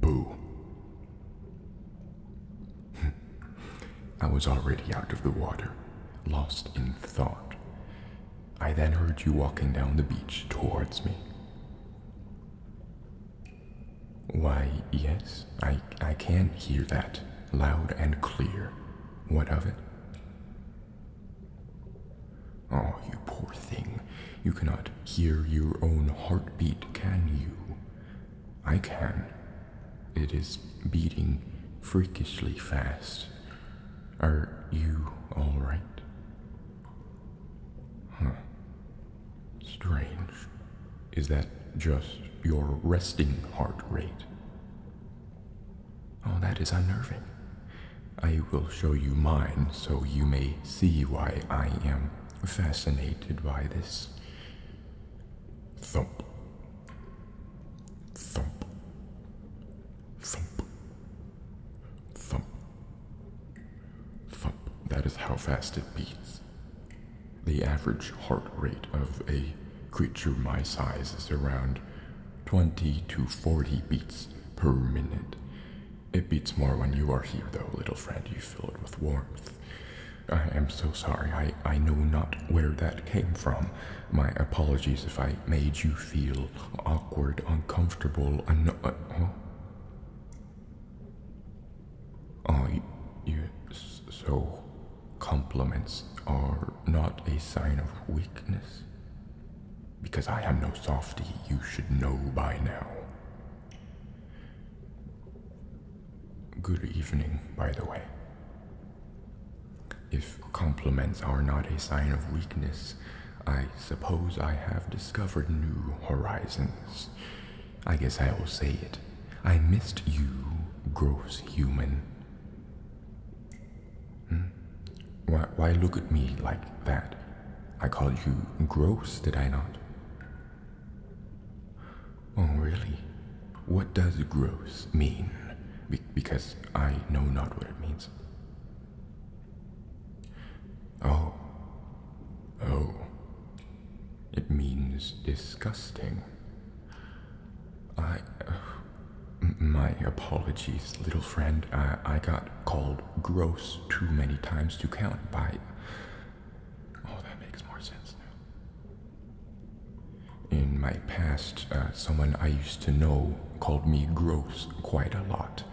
Boo. I was already out of the water, lost in thought. I then heard you walking down the beach towards me. Why, yes, I, I can hear that loud and clear. What of it? Oh, you poor thing. You cannot hear your own heartbeat, can you? I can. It is beating freakishly fast. Are you alright? Huh. Strange. Is that just your resting heart rate? Oh, that is unnerving. I will show you mine so you may see why I am fascinated by this. Thump. Thump. Thump. Thump. Thump, that is how fast it beats. The average heart rate of a creature my size is around 20 to 40 beats per minute. It beats more when you are here, though, little friend. You fill it with warmth. I am so sorry. I, I know not where that came from. My apologies if I made you feel awkward, uncomfortable, un- uh, Oh, you so compliments are not a sign of weakness. Because I am no softy, you should know by now. Good evening, by the way. If compliments are not a sign of weakness, I suppose I have discovered new horizons. I guess I will say it. I missed you, gross human. Hmm? Why, why look at me like that? I called you gross, did I not? Oh, really? What does gross mean? because I know not what it means. Oh. Oh. It means disgusting. I. my apologies, little friend. I, I got called gross too many times to count by. Oh, that makes more sense now. In my past, uh, someone I used to know called me gross quite a lot.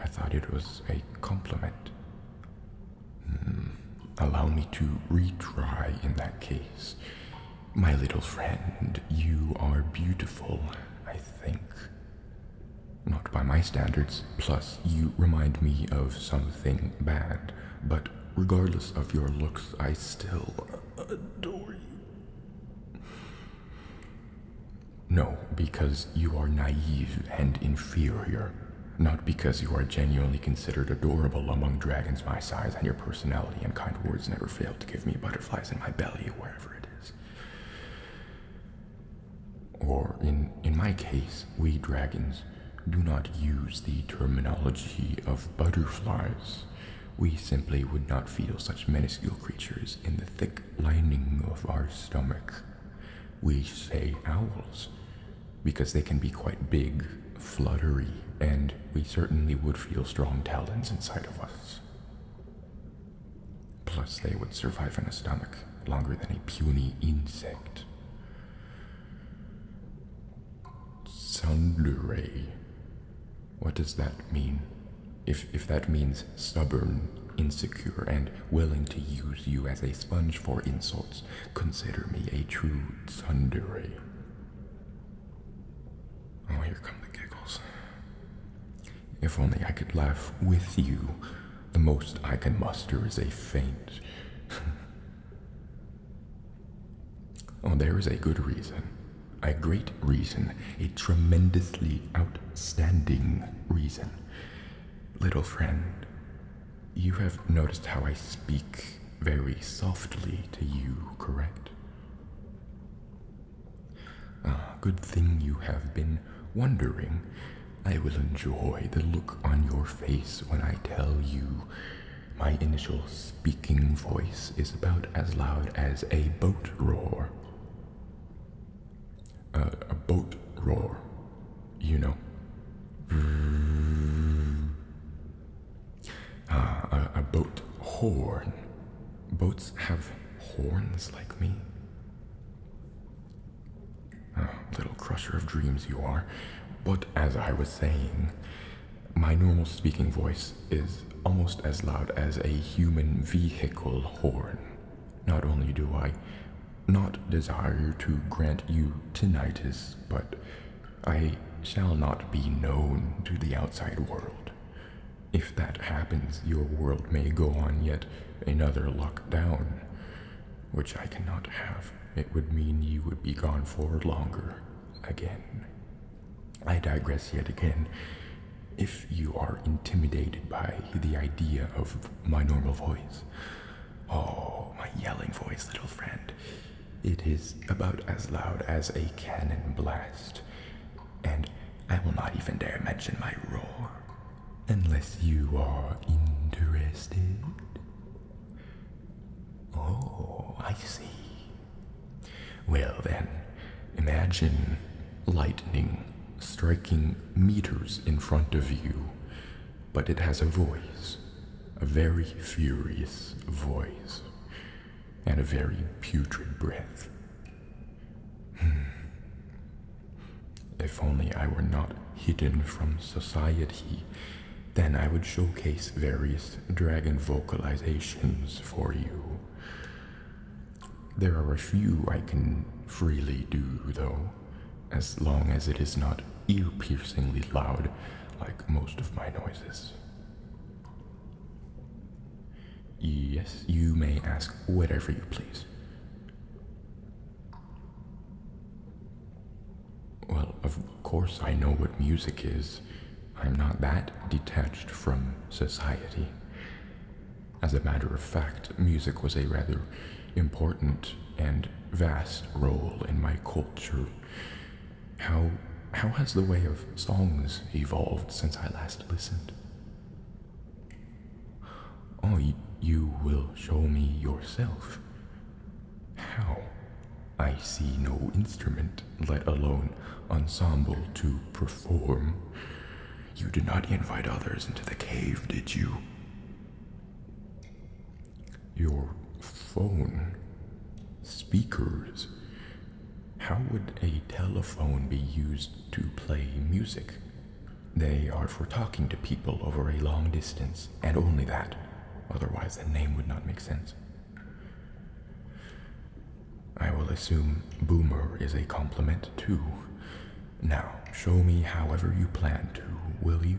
I thought it was a compliment. Hmm. allow me to retry in that case. My little friend, you are beautiful, I think. Not by my standards, plus you remind me of something bad, but regardless of your looks, I still adore you. No, because you are naive and inferior. Not because you are genuinely considered adorable among dragons my size, and your personality and kind words never fail to give me butterflies in my belly, wherever it is. Or, in, in my case, we dragons do not use the terminology of butterflies. We simply would not feel such minuscule creatures in the thick lining of our stomach. We say owls because they can be quite big, fluttery, and we certainly would feel strong talons inside of us. Plus, they would survive in a stomach longer than a puny insect. Sundere. What does that mean? If, if that means stubborn, insecure, and willing to use you as a sponge for insults, Consider me a true tsundere. Oh, here come the giggles. If only I could laugh with you. The most I can muster is a faint. oh, there is a good reason. A great reason. A tremendously outstanding reason. Little friend, you have noticed how I speak very softly to you, correct? good thing you have been wondering. I will enjoy the look on your face when I tell you my initial speaking voice is about as loud as a boat roar. a boat roar you know. Ah, a, boat horn. Boats have horns like me? Ah, little crusher of dreams you are. But as I was saying, my normal speaking voice is almost as loud as a human vehicle horn. Not only do I not desire to grant you tinnitus, but I shall not be known to the outside world. If that happens, your world may go on yet another lockdown, which I cannot have. It would mean you would be gone for longer again. I digress yet again. If you are intimidated by the idea of my normal voice, Oh, my yelling voice, little friend. It is about as loud as a cannon blast, and I will not even dare mention my roar unless you are interested. Oh, I see. Well, then, imagine lightning striking meters in front of you but it has a voice, a very furious voice, and a very putrid breath. Hmm. if only I were not hidden from society, then I would showcase various dragon vocalizations for you. There are a few I can freely do, though as long as it is not ear piercingly loud like most of my noises. Yes, you may ask whatever you please. Well, of course, I know what music is. I'm not that detached from society. As a matter of fact, music was a rather important and vast role in my culture. How, how has the way of songs evolved since I last listened? Oh, you will show me yourself. How? I see no instrument, let alone ensemble, to perform. You did not invite others into the cave, did you? your phone, speakers. How would a telephone be used to play music? They are for talking to people over a long distance, and only that. Otherwise, the name would not make sense. I will assume boomer is a compliment too. Now, show me however you plan to, will you?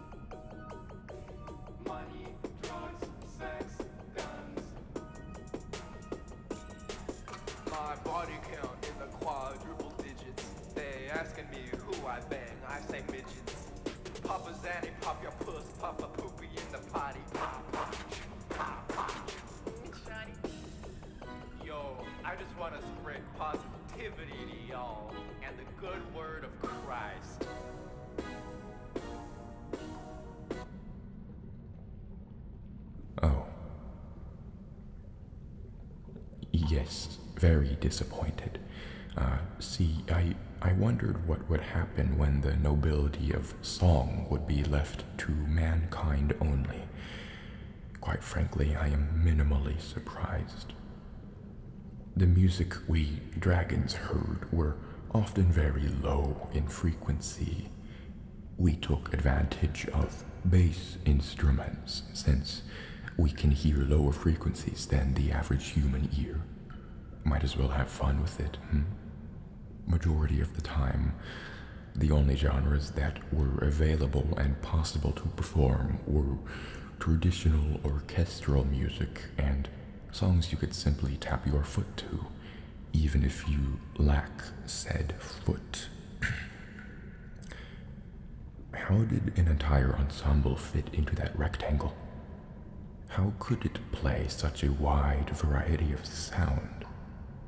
my body count in the quadruple digits. They asking me who I bang, I say midgets. Papa Zanny, pop your puss, Papa Poopy in the potty. Pop, pop, pop, pop. Yo, I just wanna spread positive positivity to y'all and the good word of Christ. Oh. Yes, very disappointed. Uh, see, I, I wondered what would happen when the nobility of song would be left to mankind only. Quite frankly, I am minimally surprised. The music we dragons heard were often very low in frequency. We took advantage of bass instruments since we can hear lower frequencies than the average human ear. Might as well have fun with it, hmm? Majority of the time, the only genres that were available and possible to perform were traditional orchestral music and songs you could simply tap your foot to, even if you lack said foot. How did an entire ensemble fit into that rectangle? How could it play such a wide variety of sound?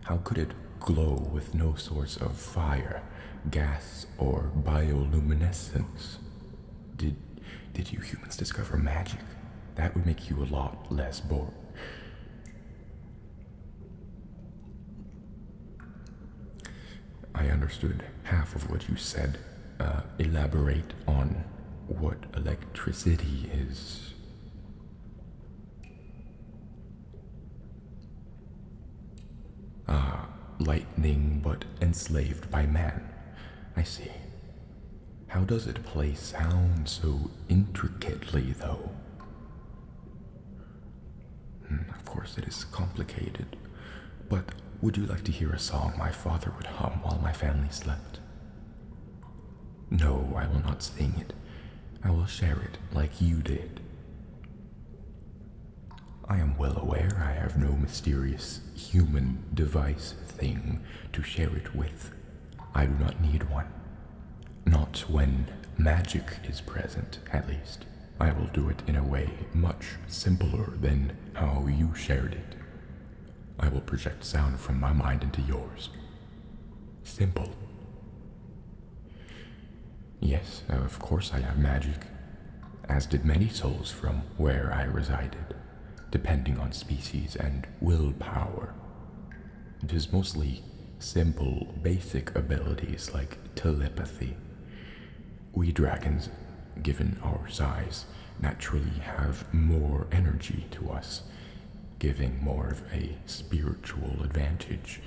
How could it glow with no source of fire, gas, or bioluminescence? Did did you humans discover magic? That would make you a lot less bored. I understood half of what you said. Uh, elaborate on what electricity is. Ah, lightning but enslaved by man. I see. How does it play sound so intricately, though? Hmm, of course, it is complicated, but would you like to hear a song my father would hum while my family slept? No, I will not sing it. I will share it like you did. I am well aware I have no mysterious human device thing to share it with. I do not need one. Not when magic is present, at least. I will do it in a way much simpler than how you shared it. I will project sound from my mind into yours. Simple. Yes, of course I have magic as did many souls from where I resided, depending on species and willpower. It is mostly simple, basic abilities like telepathy. We dragons, given our size, naturally have more energy to us, giving more of a spiritual advantage,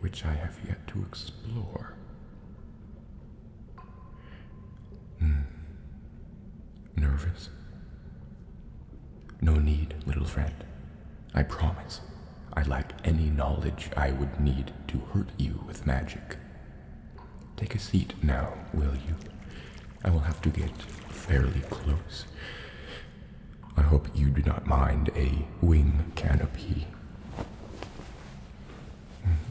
which I have yet to explore. Hmm. Nervous? No need, little friend. I promise. I lack any knowledge I would need to hurt you with magic. Take a seat now, will you? I will have to get fairly close. I hope you do not mind a wing canopy.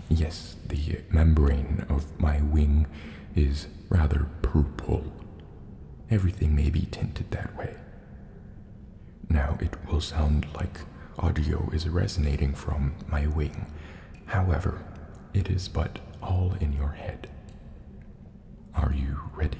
Yes, the membrane of my wing is rather purple. Everything may be tinted that way. Now, it will sound like audio is resonating from my wing. However, it is but all in your head. Are you ready?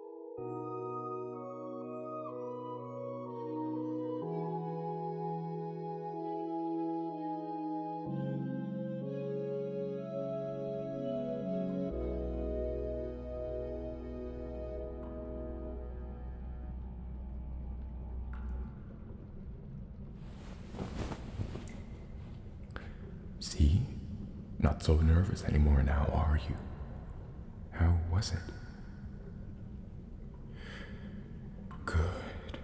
See? Not so nervous anymore now, are you? How was it? Good.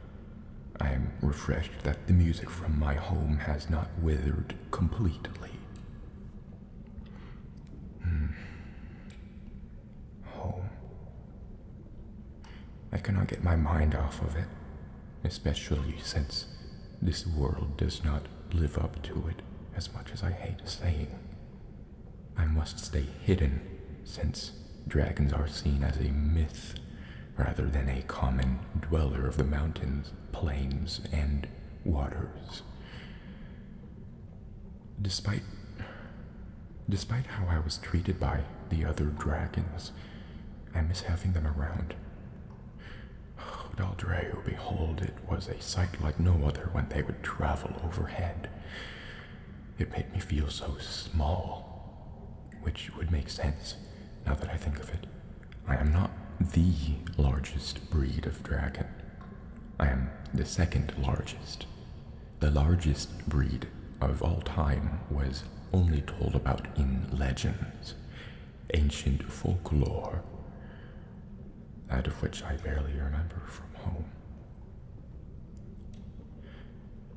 I am refreshed that the music from my home has not withered completely. Hmm. Home. I cannot get my mind off of it, especially since this world does not live up to it as much as I hate saying I must stay hidden, since dragons are seen as a myth rather than a common dweller of the mountains, plains, and waters. Despite despite how I was treated by the other dragons, I miss having them around. Oh, Daldreu, behold it was a sight like no other when they would travel overhead. It made me feel so small, which would make sense now that I think of it. I am not the largest breed of dragon. I am the second largest. The largest breed of all time was only told about in legends, ancient folklore that of which I barely remember from home.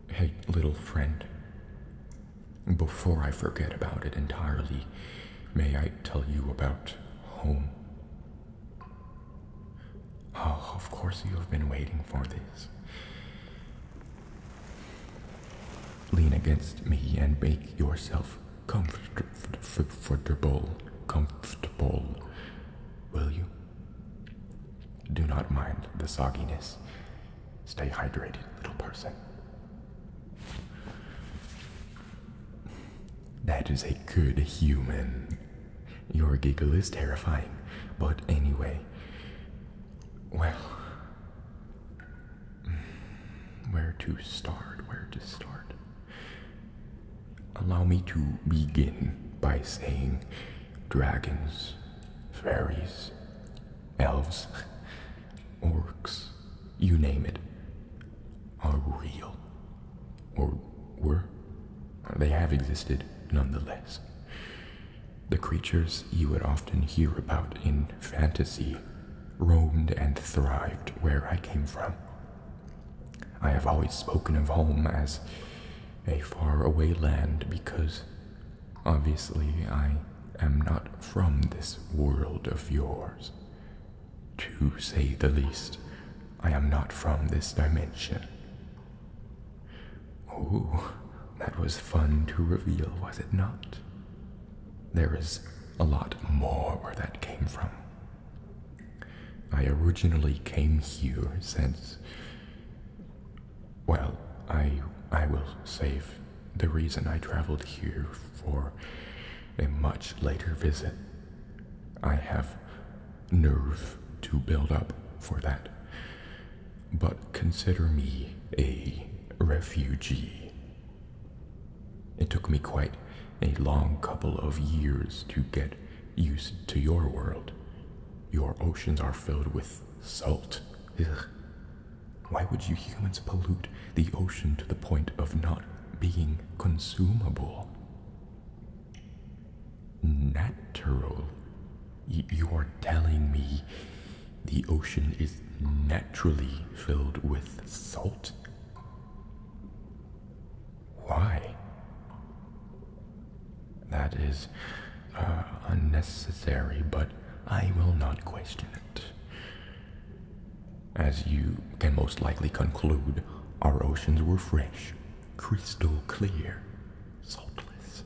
Hey, little friend, before I forget about it entirely, may I tell you about home? Oh, of course you have been waiting for this. Lean against me and make yourself comfortable, comfortable, will you? Do not mind the sogginess. Stay hydrated, little person. That is a good human. Your giggle is terrifying, but anyway. Well. Where to start? Where to start? Allow me to begin by saying dragons, fairies, elves, orcs, you name it, are real. Or were. They have existed nonetheless. The creatures you would often hear about in fantasy roamed and thrived where I came from. I have always spoken of home as a faraway land because obviously I am not from this world of yours. To say the least, I am not from this dimension. Oh, that was fun to reveal, was it not? There is a lot more where that came from. I originally came here since. Well, I, I will save the reason I traveled here for a much later visit. I have nerve to build up for that. But consider me a refugee. It took me quite a long couple of years to get Used to your world. Your oceans are filled with salt. Why would you humans pollute the ocean to the point of not being consumable? Natural. you are telling me the ocean is naturally filled with salt? Why? That is uh, unnecessary, but I will not question it. As you can most likely conclude, our oceans were fresh, crystal clear, saltless.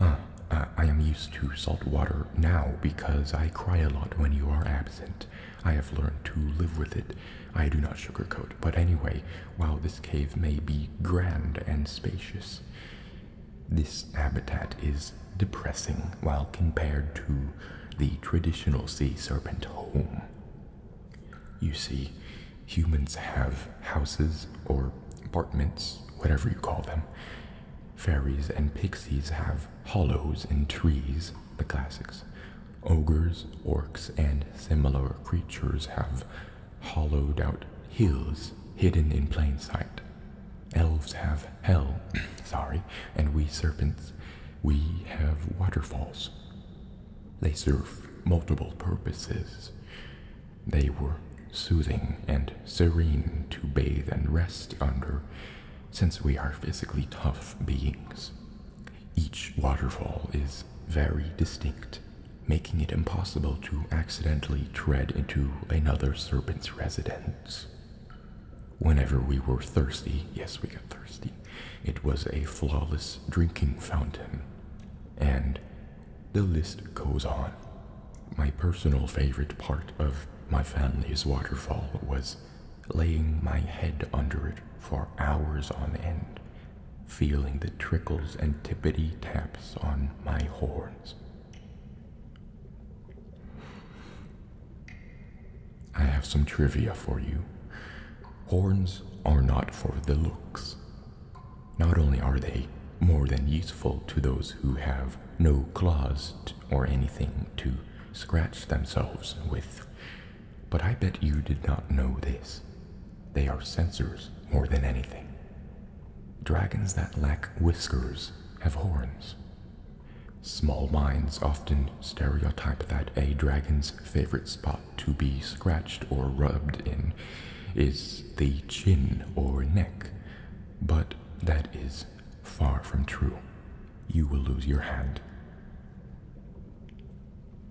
Uh, I am used to salt water now because I cry a lot when you are absent, I have learned to live with it. I do not sugarcoat. But anyway, while this cave may be grand and spacious, this habitat is depressing while compared to the traditional sea serpent home. You see, humans have houses or apartments, whatever you call them. Fairies and pixies have hollows in trees, the classics. Ogres, orcs, and similar creatures have hollowed out hills hidden in plain sight. Elves have hell, sorry, and we serpents, we have waterfalls. They serve multiple purposes. They were soothing and serene to bathe and rest under, since we are physically tough beings. Each waterfall is very distinct, making it impossible to accidentally tread into another serpent's residence. Whenever we were thirsty, yes, we got thirsty, it was a flawless drinking fountain. And the list goes on. My personal favorite part of my family's waterfall was laying my head under it for hours on end, feeling the trickles and tippity taps on my horns. I have some trivia for you. Horns are not for the looks. Not only are they more than useful to those who have no claws or anything to scratch themselves with, but I bet you did not know this. They are censors more than anything. Dragons that lack whiskers have horns. Small minds often stereotype that a dragon's favorite spot to be scratched or rubbed in is the chin or neck, but that is far from true. You will lose your hand.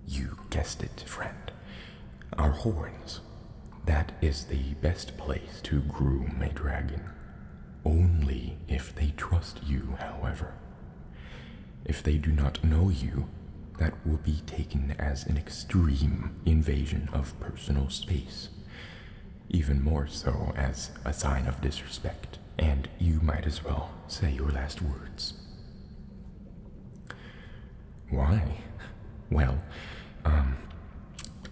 You guessed it, friend. Our horns. That is the best place to groom a dragon. Only if they trust you, however. If they do not know you, that will be taken as an extreme invasion of personal space. Even more so as a sign of disrespect, and you might as well say your last words. Why? Well, um,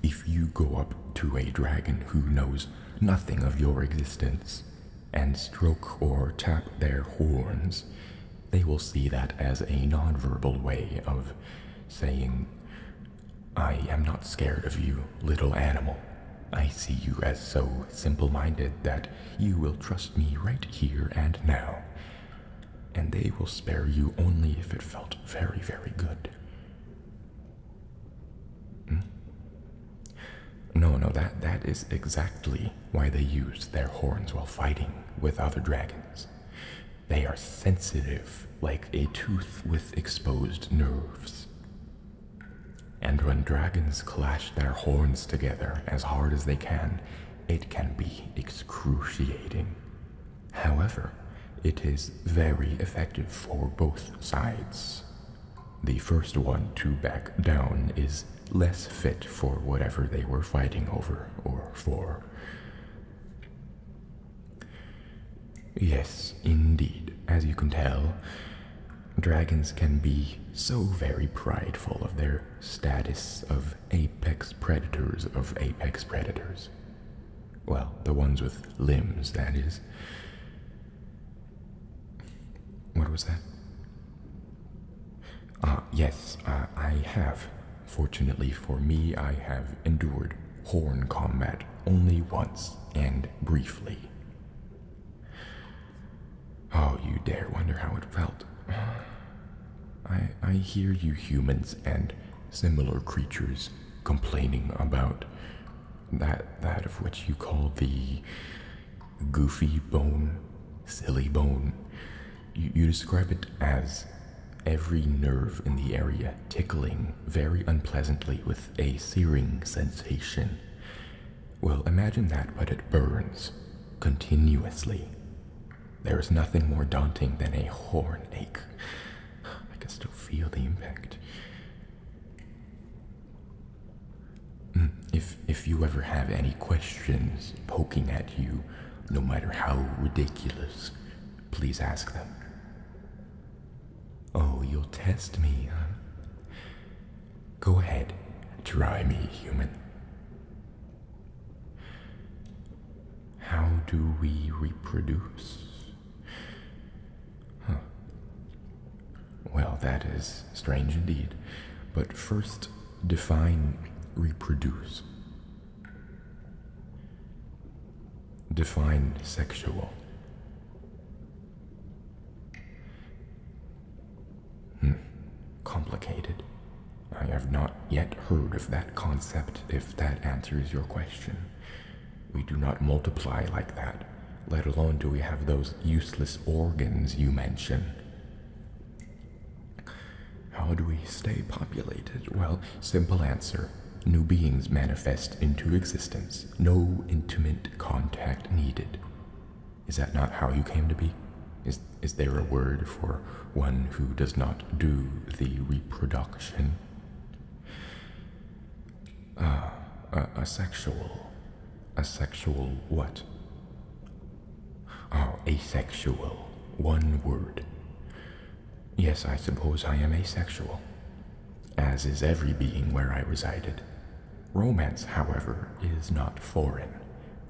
if you go up to a dragon who knows nothing of your existence and stroke or tap their horns, they will see that as a nonverbal way of saying, I am not scared of you, little animal. I see you as so simple minded that you will trust me right here and now. And they will spare you only if it felt very, very good. Hmm? No, no, that, that is exactly why they use their horns while fighting with other dragons. They are sensitive, like a tooth with exposed nerves. And when dragons clash their horns together as hard as they can, it can be excruciating. However, it is very effective for both sides. The first one to back down is less fit for whatever they were fighting over or for. Yes, indeed, as you can tell, dragons can be so very prideful of their status of apex predators of apex predators. Well, the ones with limbs, that is. What was that? Ah, uh, yes, I have. Fortunately for me, I have endured horn combat only once and briefly. Oh, you dare wonder how it felt. I, I hear you humans and similar creatures complaining about that, that of which you call the goofy bone, silly bone. You, you describe it as every nerve in the area tickling very unpleasantly with a searing sensation. Well, imagine that, but it burns continuously. There is nothing more daunting than a horn ache. I can still feel the impact. Hmm, if, if you ever have any questions poking at you, no matter how ridiculous, please ask them. Oh, you'll test me, huh? Go ahead, try me, human. How do we reproduce? Well, that is strange indeed. But first, define reproduce. Define sexual. Hmm. Complicated. I have not yet heard of that concept, if that answers your question. We do not multiply like that, let alone do we have those useless organs you mention. How do we stay populated? Well, simple answer. New beings manifest into existence, no intimate contact needed. Is that not how you came to be? Is, is there a word for one who does not do the reproduction? Ah, a, a sexual. A sexual what? Oh, asexual. One word. Yes, I suppose I am asexual, as is every being where I resided. Romance, however, is not foreign.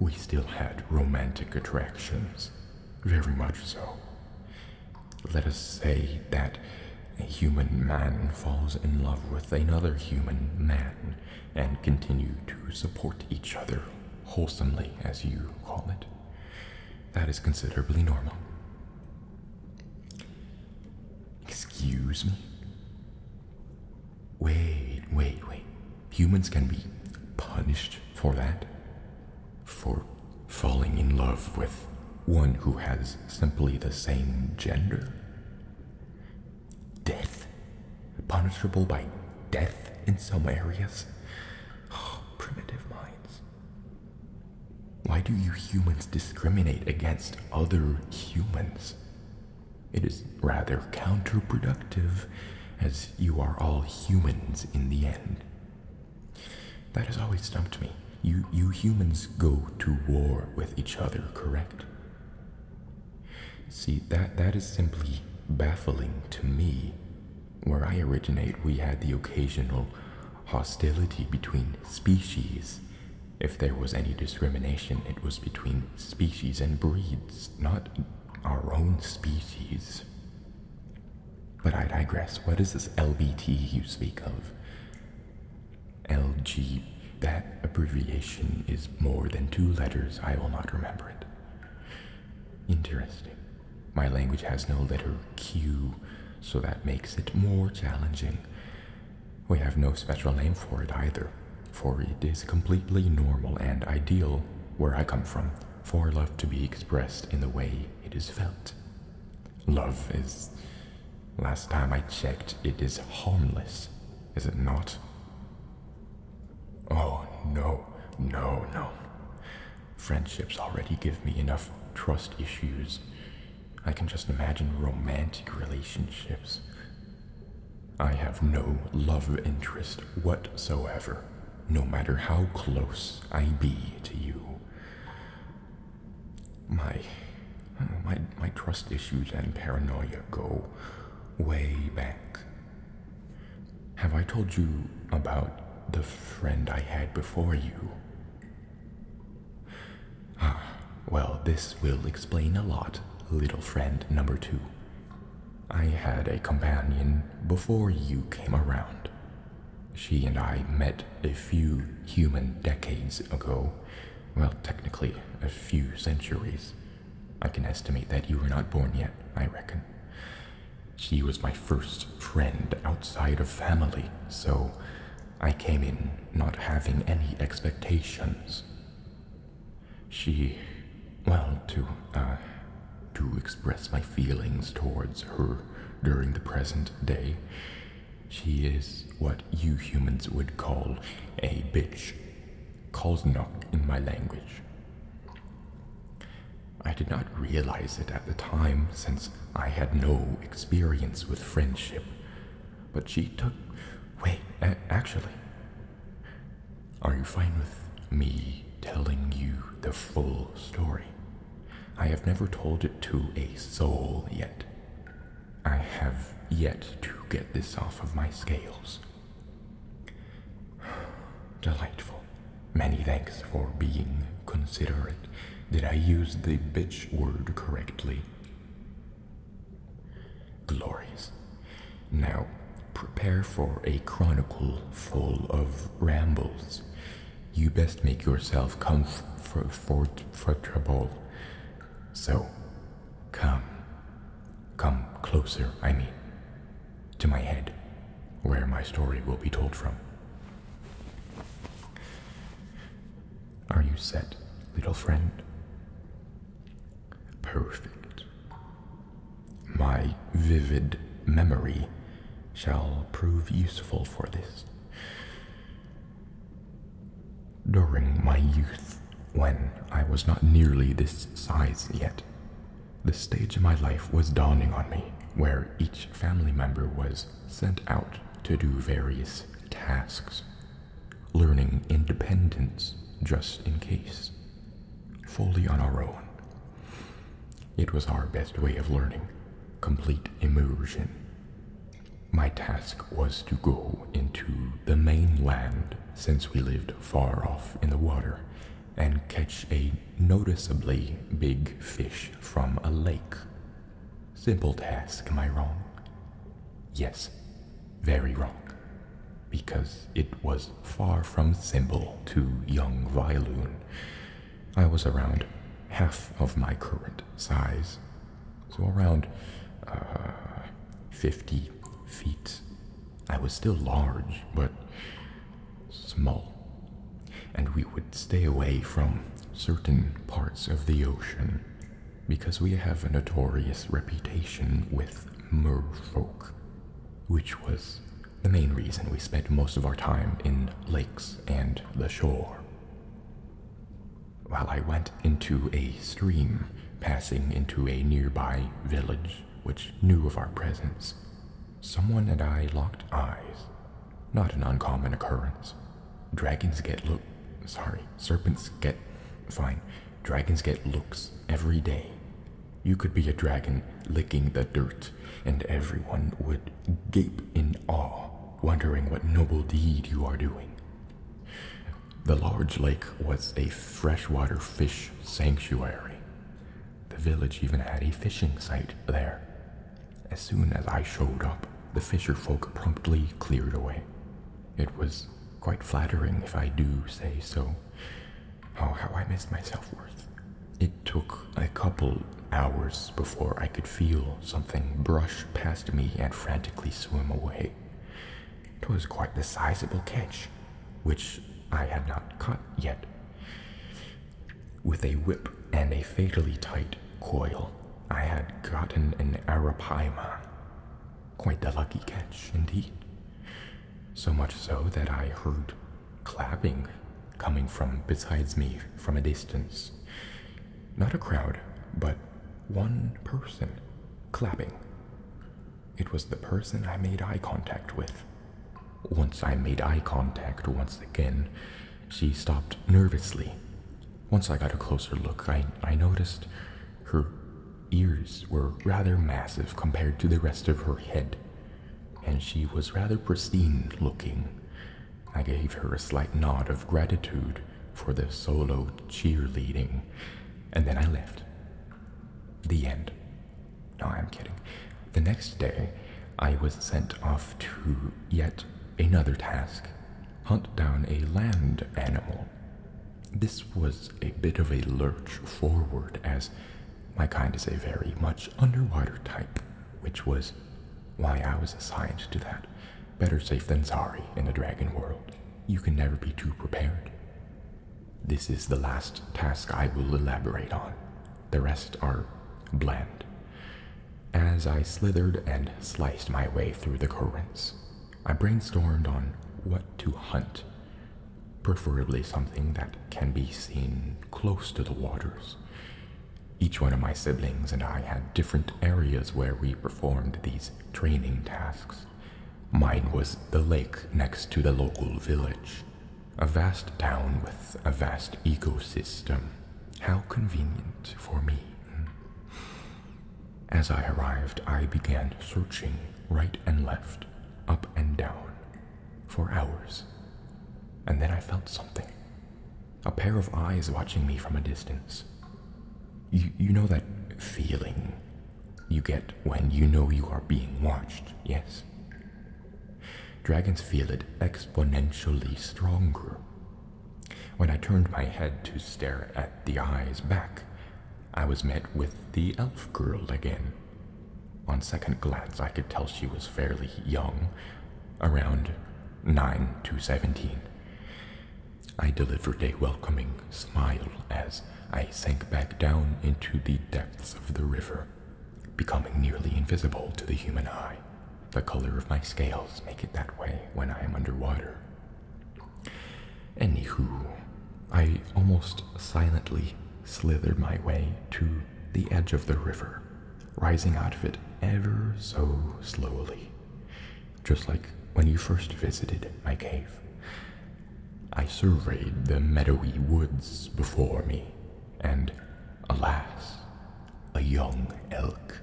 We still had romantic attractions, very much so. Let us say that a human man falls in love with another human man and continue to support each other wholesomely, as you call it. That is considerably normal. Excuse me? Wait, wait, wait. Humans can be punished for that? For falling in love with one who has simply the same gender? Death? Punishable by death in some areas? Oh, primitive minds. Why do you humans discriminate against other humans? It is rather counterproductive, as you are all humans in the end. That has always stumped me. You, you humans go to war with each other, correct? See, that, that is simply baffling to me. Where I originate, we had the occasional hostility between species. If there was any discrimination, it was between species and breeds, not our own species. But I digress. What is this LBT you speak of? LG. That abbreviation is more than two letters. I will not remember it. Interesting. My language has no letter Q, so that makes it more challenging. We have no special name for it either, for it is completely normal and ideal where I come from for love to be expressed in the way it is felt. Love is, last time I checked, it is harmless, is it not? Oh, no, no, no. Friendships already give me enough trust issues. I can just imagine romantic relationships. I have no love interest whatsoever, no matter how close I be to you. My, my, my trust issues and paranoia go way back. Have I told you about the friend I had before you? Ah, well, this will explain a lot, little friend number two. I had a companion before you came around. She and I met a few human decades ago. Well, technically, a few centuries. I can estimate that you were not born yet, I reckon. She was my first friend outside of family, so I came in not having any expectations. She, well, to, uh, to express my feelings towards her during the present day, she is what you humans would call a bitch. Kalsnok in my language. I did not realize it at the time, since I had no experience with friendship. But she took. Wait, actually, are you fine with me telling you the full story? I have never told it to a soul yet. I have yet to get this off of my scales. Delightful. Many thanks for being considerate. Did I use the bitch word correctly? Glorious. Now, prepare for a chronicle full of rambles. You best make yourself comfortable. So, come. Come closer, I mean, to my head, where my story will be told from. Are you set, little friend? Perfect. My vivid memory shall prove useful for this. During my youth, when I was not nearly this size yet, the stage of my life was dawning on me where each family member was sent out to do various tasks, learning independence just in case, fully on our own. It was our best way of learning, complete immersion. My task was to go into the mainland, since we lived far off in the water, and catch a noticeably big fish from a lake. Simple task, am I wrong? Yes, very wrong, because it was far from simple to young violin. I was around half of my current size, so around uh, 50 feet. I was still large, but small, and we would stay away from certain parts of the ocean because we have a notorious reputation with merfolk, which was the main reason we spent most of our time in lakes and the shore. While I went into a stream, passing into a nearby village which knew of our presence, someone and I locked eyes. Not an uncommon occurrence. Dragons get look. Sorry, serpents get. Fine. Dragons get looks every day, you could be a dragon licking the dirt, and everyone would gape in awe, wondering what noble deed you are doing. The large lake was a freshwater fish sanctuary. The village even had a fishing site there. As soon as I showed up, the fisher folk promptly cleared away. It was quite flattering, if I do say so. Oh, how I missed my self worth. It took a couple hours before I could feel something brush past me and frantically swim away. It was quite the sizable catch, which I had not caught yet. With a whip and a fatally tight coil, I had gotten an arapaima. Quite the lucky catch, indeed. So much so that I heard clapping coming from besides me from a distance. Not a crowd, but one person clapping. It was the person I made eye contact with. Once I made eye contact once again, she stopped nervously. Once I got a closer look, I, I noticed her ears were rather massive compared to the rest of her head and she was rather pristine looking. I gave her a slight nod of gratitude for the solo cheerleading, and then I left. The end. No, I'm kidding. The next day, I was sent off to yet another task hunt down a land animal. This was a bit of a lurch forward as my kind is a very much underwater type, which was why I was assigned to that. Better safe than sorry in the dragon world. You can never be too prepared. This is the last task I will elaborate on. The rest are bland. As I slithered and sliced my way through the currents, I brainstormed on what to hunt, preferably something that can be seen close to the waters. Each one of my siblings and I had different areas where we performed these training tasks. Mine was the lake next to the local village. A vast town with a vast ecosystem. How convenient for me. As I arrived, I began searching right and left, up and down, for hours. And then I felt something a pair of eyes watching me from a distance. You, know that feeling you get when you know you are being watched, yes? Dragons feel it exponentially stronger. When I turned my head to stare at the eyes back, I was met with the elf girl again, on second glance, I could tell she was fairly young, around 9 to 17. I delivered a welcoming smile as I sank back down into the depths of the river, becoming nearly invisible to the human eye. The color of my scales make it that way when I am underwater. Anywho, I almost silently slithered my way to the edge of the river rising out of it ever so slowly, just like when you first visited my cave. I surveyed the meadowy woods before me, and alas, a young elk.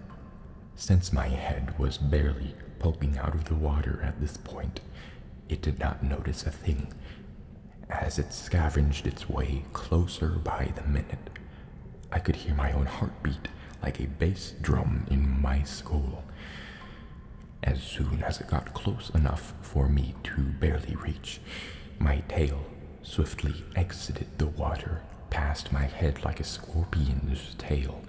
Since my head was barely poking out of the water at this point, it did not notice a thing as it scavenged its way closer by the minute, I could hear my own heartbeat like a bass drum in my skull. As soon as it got close enough for me to barely reach, my tail swiftly exited the water passed my head like a scorpion's tail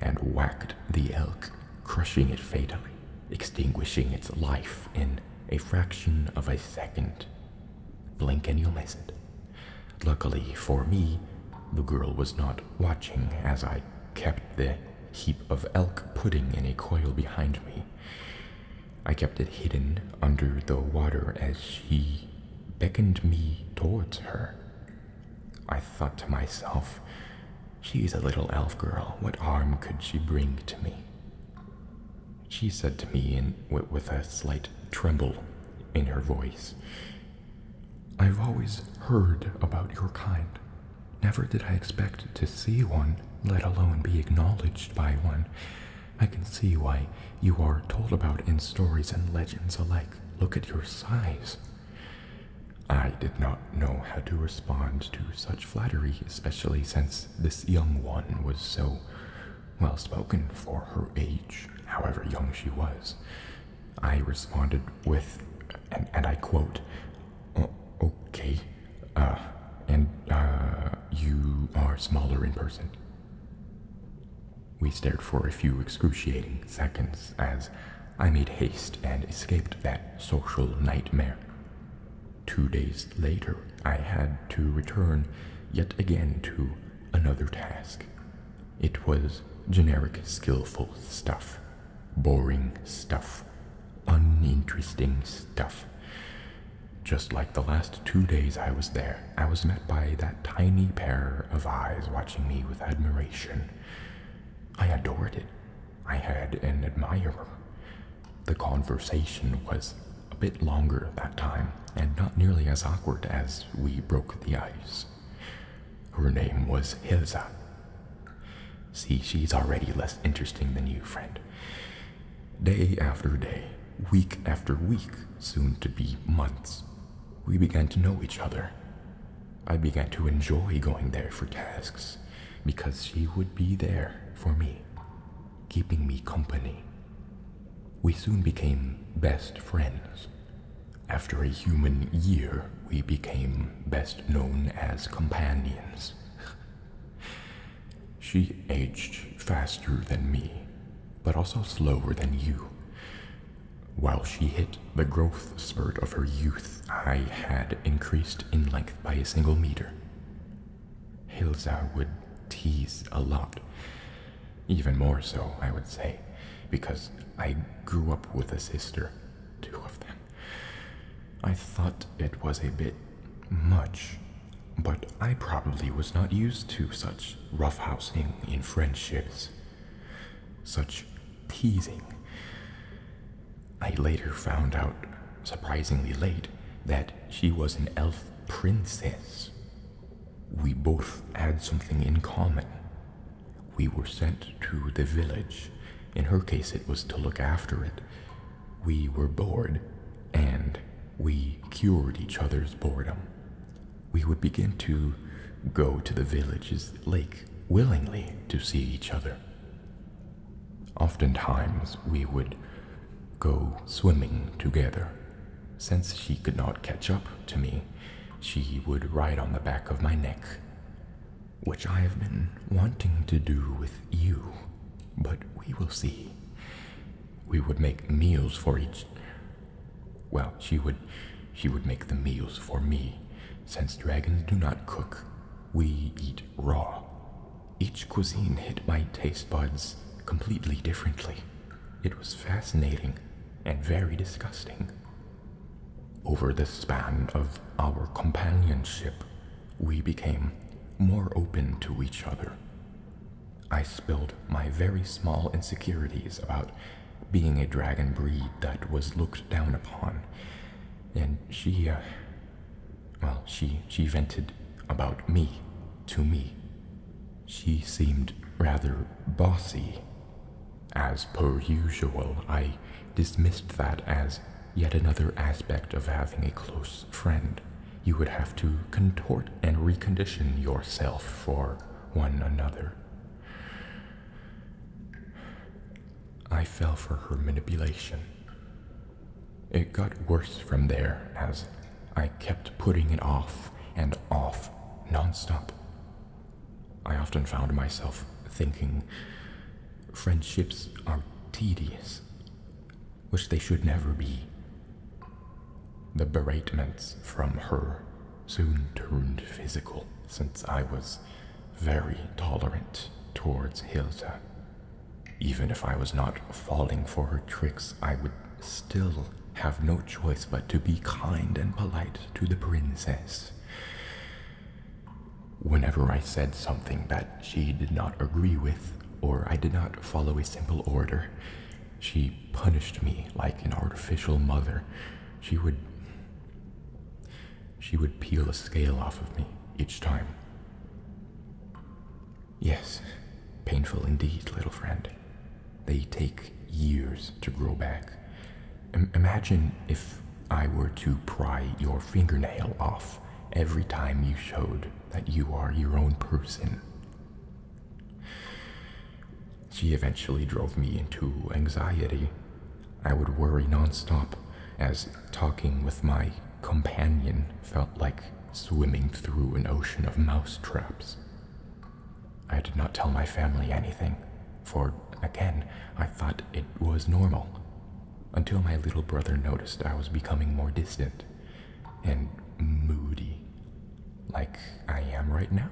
and whacked the elk, crushing it fatally, extinguishing its life in a fraction of a second. Blink and you'll miss it. Luckily for me, the girl was not watching as I kept the heap of elk pudding in a coil behind me. I kept it hidden under the water as she beckoned me towards her. I thought to myself, she's a little elf girl. What harm could she bring to me? she said to me with a slight tremble in her voice. I've always heard about your kind. Never did I expect to see one, let alone be acknowledged by one. I can see why you are told about in stories and legends alike. Look at your size. I did not know how to respond to such flattery, especially since this young one was so well spoken for her age, however young she was. I responded with, and, I quote, oh, Okay, uh, and uh, you are smaller in person. We stared for a few excruciating seconds as I made haste and escaped that social nightmare. Two days later, I had to return yet again to another task. It was generic, skillful stuff, boring stuff, uninteresting stuff. Just like the last two days I was there, I was met by that tiny pair of eyes watching me with admiration. I adored it. I had an admirer. The conversation was a bit longer that time and not nearly as awkward as we broke the ice. Her name was Hilza. See, she's already less interesting than you, friend. Day after day, week after week, soon to be months, we began to know each other. I began to enjoy going there for tasks because she would be there for me, keeping me company we soon became best friends. After a human year, we became best known as companions. she aged faster than me, but also slower than you. While she hit the growth spurt of her youth, I had increased in length by a single meter. Hilza would tease a lot. Even more so, I would say, because I grew up with a sister, two of them. I thought it was a bit much, but I probably was not used to such roughhousing in friendships, such teasing. I later found out, surprisingly late, that she was an elf princess we both had something in common. We were sent to the village. In her case, it was to look after it. We were bored, and we cured each other's boredom. We would begin to go to the village's lake willingly to see each other. Oftentimes, we would go swimming together. Since she could not catch up to me, she would ride on the back of my neck, which I have been wanting to do with you, but we will see. We would make meals for each. Well, she would, she would make the meals for me. Since dragons do not cook, we eat raw. Each cuisine hit my taste buds completely differently. It was fascinating and very disgusting. Over the span of our companionship, we became more open to each other. I spilled my very small insecurities about being a dragon breed that was looked down upon, and she, uh, well, she, she vented about me to me. She seemed rather bossy. As per usual, I dismissed that as yet another aspect of having a close friend. You would have to contort and recondition yourself for one another. I fell for her manipulation. It got worse from there as I kept putting it off and off nonstop. I often found myself thinking friendships are tedious, wish they should never be. The beratements from her soon turned physical since I was very tolerant towards Hilda. Even if I was not falling for her tricks, I would still have no choice but to be kind and polite to the princess. Whenever I said something that she did not agree with, or I did not follow a simple order, she punished me like an artificial mother. She would. She would peel a scale off of me each time. Yes, painful indeed, little friend. They take years to grow back. imagine if I were to pry your fingernail off every time you showed that you are your own person. She eventually drove me into anxiety. I would worry nonstop, as talking with my companion felt like swimming through an ocean of mouse traps. I did not tell my family anything, for, again, I thought it was normal. Until my little brother noticed I was becoming more distant and moody, like I am right now.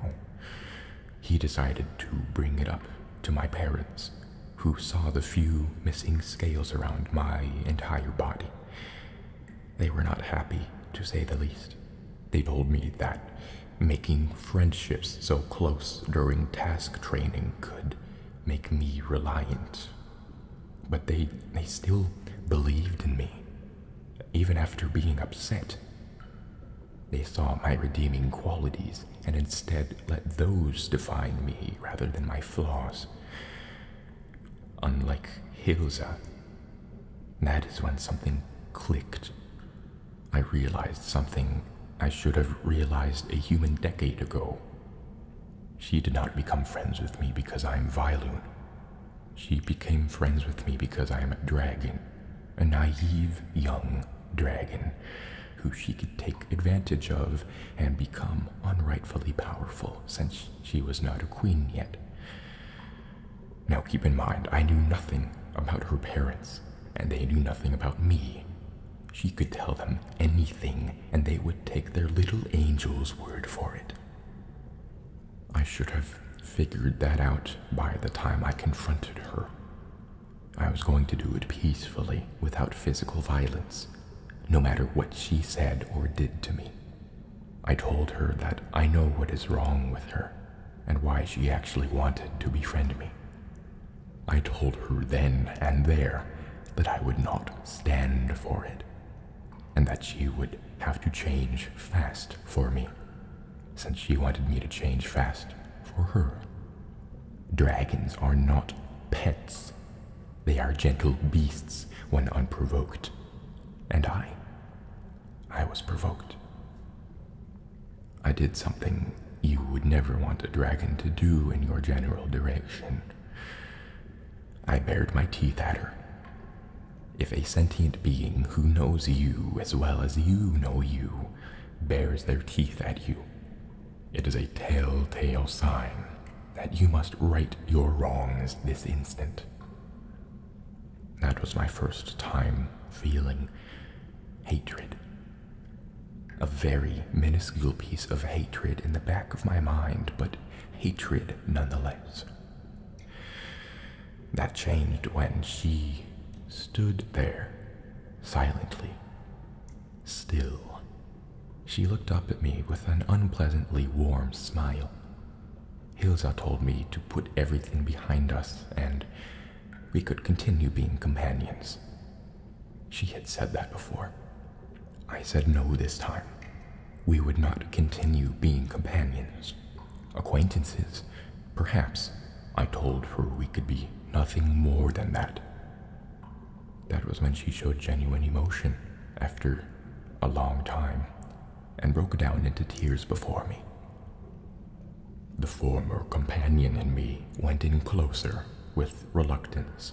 He decided to bring it up to my parents, who saw the few missing scales around my entire body. They were not happy, to say the least. They told me that making friendships so close during task training could make me reliant. But they, they still believed in me, even after being upset. They saw my redeeming qualities and instead let those define me rather than my flaws. Unlike Hilza, that is when something clicked. I realized something I should have realized a human decade ago. She did not become friends with me because I am Violun. She became friends with me because I am a dragon, a naive young dragon who she could take advantage of and become unrightfully powerful since she was not a queen yet. Now keep in mind, I knew nothing about her parents, and they knew nothing about me. She could tell them anything, and they would take their little angel's word for it. I should have figured that out by the time I confronted her. I was going to do it peacefully, without physical violence, no matter what she said or did to me. I told her that I know what is wrong with her and why she actually wanted to befriend me. I told her then and there that I would not stand for it, and that she would have to change fast for me, since she wanted me to change fast for her. Dragons are not pets, they are gentle beasts when unprovoked, and I, I was provoked. I did something you would never want a dragon to do in your general direction. I bared my teeth at her. If a sentient being who knows you as well as you know you bares their teeth at you, it is a telltale sign that you must right your wrongs this instant. That was my first time feeling hatred. A very minuscule piece of hatred in the back of my mind, but hatred nonetheless. That changed when she stood there, silently, still. She looked up at me with an unpleasantly warm smile. Hilza told me to put everything behind us and we could continue being companions. She had said that before. I said no this time. We would not continue being companions. Acquaintances, perhaps. I told her we could be nothing more than that. That was when she showed genuine emotion after a long time, and broke down into tears before me. The former companion in me went in closer with reluctance.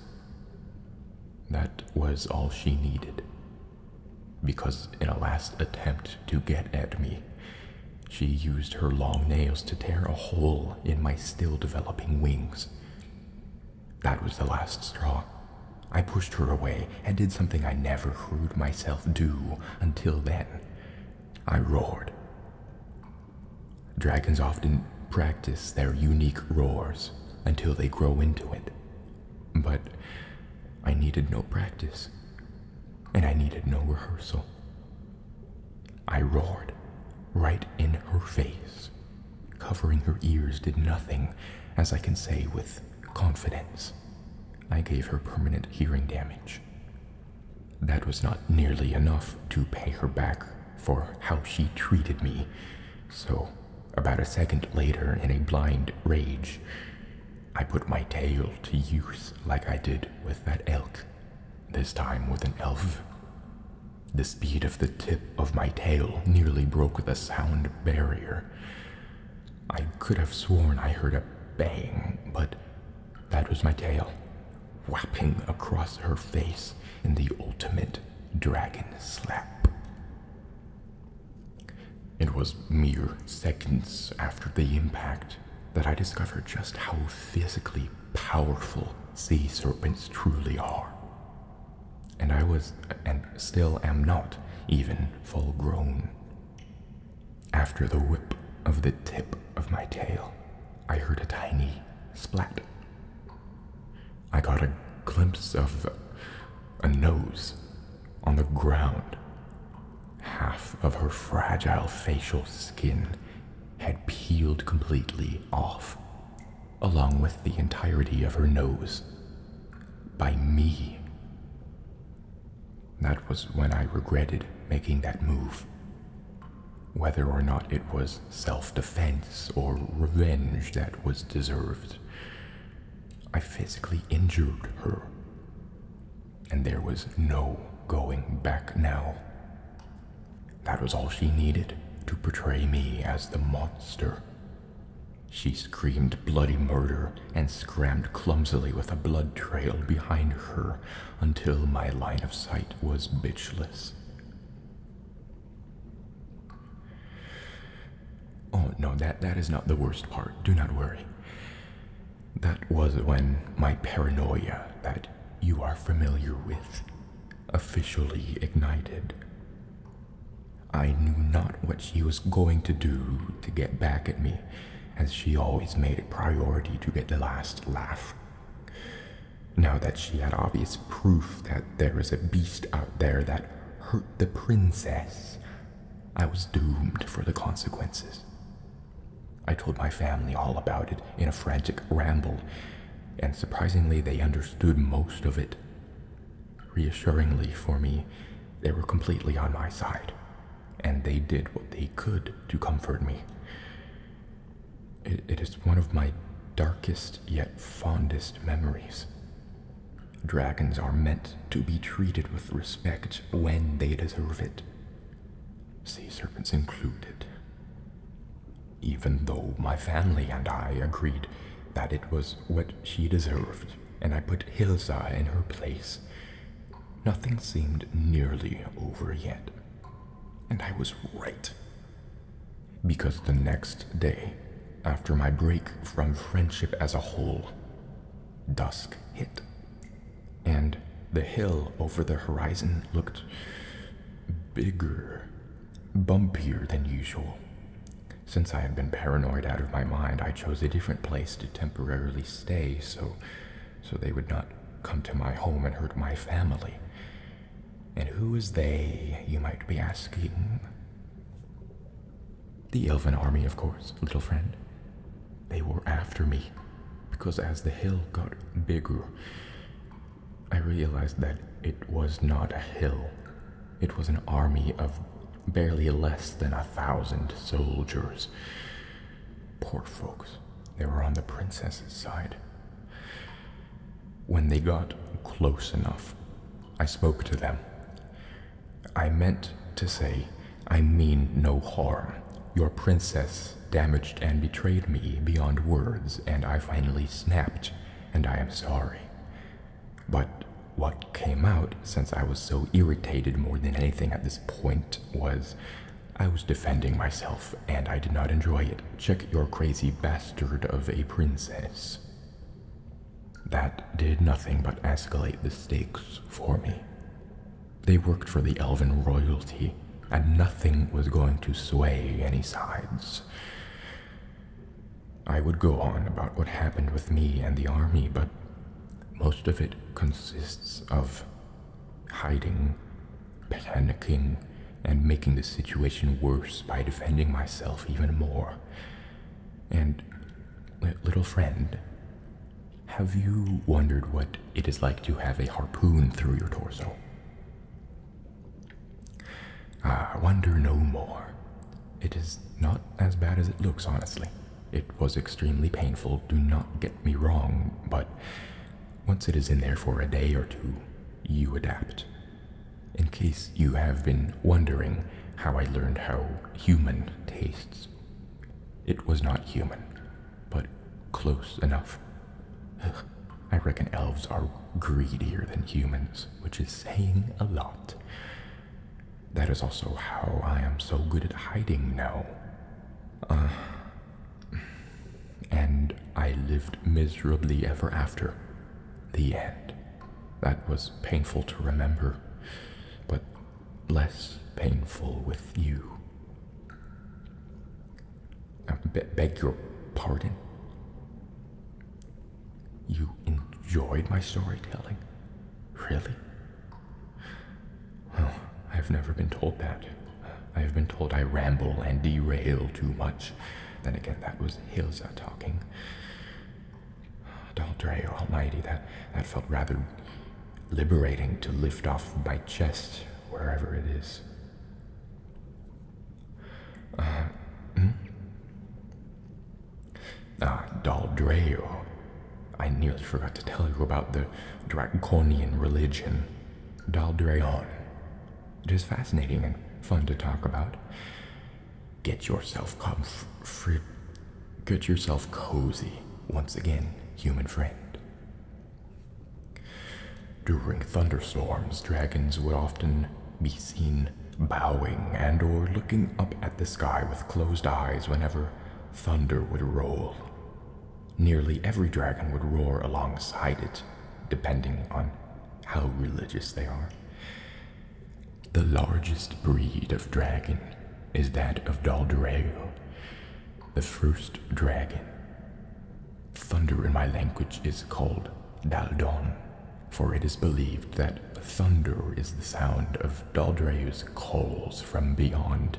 That was all she needed, because in a last attempt to get at me, she used her long nails to tear a hole in my still developing wings. That was the last straw. I pushed her away and did something I never heard myself do until then. I roared. Dragons often practice their unique roars until they grow into it. But I needed no practice, and I needed no rehearsal. I roared right in her face. Covering her ears did nothing, as I can say with confidence. I gave her permanent hearing damage. That was not nearly enough to pay her back for how she treated me, so about a second later, in a blind rage, I put my tail to use like I did with that elk, this time with an elf. The speed of the tip of my tail nearly broke the sound barrier. I could have sworn I heard a bang, but that was my tail, whapping across her face in the ultimate dragon slap. It was mere seconds after the impact that I discovered just how physically powerful sea serpents truly are. And I was, and still am not, even full grown. After the whip of the tip of my tail, I heard a tiny splat. I got a glimpse of a nose on the ground. Half of her fragile facial skin had peeled completely off, along with the entirety of her nose, by me. That was when I regretted making that move. Whether or not it was self defense or revenge that was deserved, I physically injured her. And there was no going back now. That was all she needed to portray me as the monster. She screamed bloody murder and scrammed clumsily with a blood trail behind her until my line of sight was bitchless. Oh no, that, that is not the worst part. Do not worry. That was when my paranoia that you are familiar with officially ignited. I knew not what she was going to do to get back at me as she always made it a priority to get the last laugh. Now that she had obvious proof that there was a beast out there that hurt the princess, I was doomed for the consequences. I told my family all about it in a frantic ramble, and surprisingly, they understood most of it. Reassuringly for me, they were completely on my side, and they did what they could to comfort me. it is one of my darkest yet fondest memories. Dragons are meant to be treated with respect when they deserve it, sea serpents included. Even though my family and I agreed that it was what she deserved, and I put Hilsa in her place, Nothing seemed nearly over yet. And I was right. Because the next day, after my break from friendship as a whole, dusk hit. And the hill over the horizon looked bigger, bumpier than usual. Since I had been paranoid out of my mind, I chose a different place to temporarily stay so so they would not come to my home and hurt my family. And who is they, you might be asking? The elven army, of course, little friend. They were after me, because as the hill got bigger, I realized that it was not a hill. It was an army of barely less than a thousand soldiers. Poor folks, they were on the princess's side. When they got close enough, I spoke to them. I meant to say, I mean no harm. Your princess damaged and betrayed me beyond words, and I finally snapped, and I am sorry. But what came out, since I was so irritated more than anything at this point, was I was defending myself, and I did not enjoy it. Check your crazy bastard of a princess. That did nothing but escalate the stakes for me. They worked for the elven royalty, and nothing was going to sway any sides. I would go on about what happened with me and the army, but most of it consists of hiding, panicking, and making the situation worse by defending myself even more. And, little friend, have you wondered what it is like to have a harpoon through your torso? Ah, I wonder no more. It is not as bad as it looks, honestly. It was extremely painful, do not get me wrong, but once it is in there for a day or two, you adapt. In case you have been wondering how I learned how human tastes, it was not human, but close enough. I reckon elves are greedier than humans, which is saying a lot. That is also how I am so good at hiding now. Uh, and I lived miserably ever after. The end. That was painful to remember, but less painful with you. I beg your pardon? You enjoyed my storytelling? Really? Well, I've never been told that. I have been told I ramble and derail too much. Then again, that was Hilza talking. Daldrayo Almighty, that, that felt rather liberating to lift off my chest, wherever it is. Ah, hmm? Ah, Daldrayo. I nearly forgot to tell you about the Draconian religion, Daldreon. It is fascinating and fun to talk about. Get yourself comfort. Get yourself cozy once again, human friend. During thunderstorms, dragons would often be seen bowing and or looking up at the sky with closed eyes whenever thunder would roll. Nearly every dragon would roar alongside it, depending on how religious they are. The largest breed of dragon is that of Daldoreo, the first dragon. Thunder in my language is called Daldon, for it is believed that thunder is the sound of Daldoreo's calls from beyond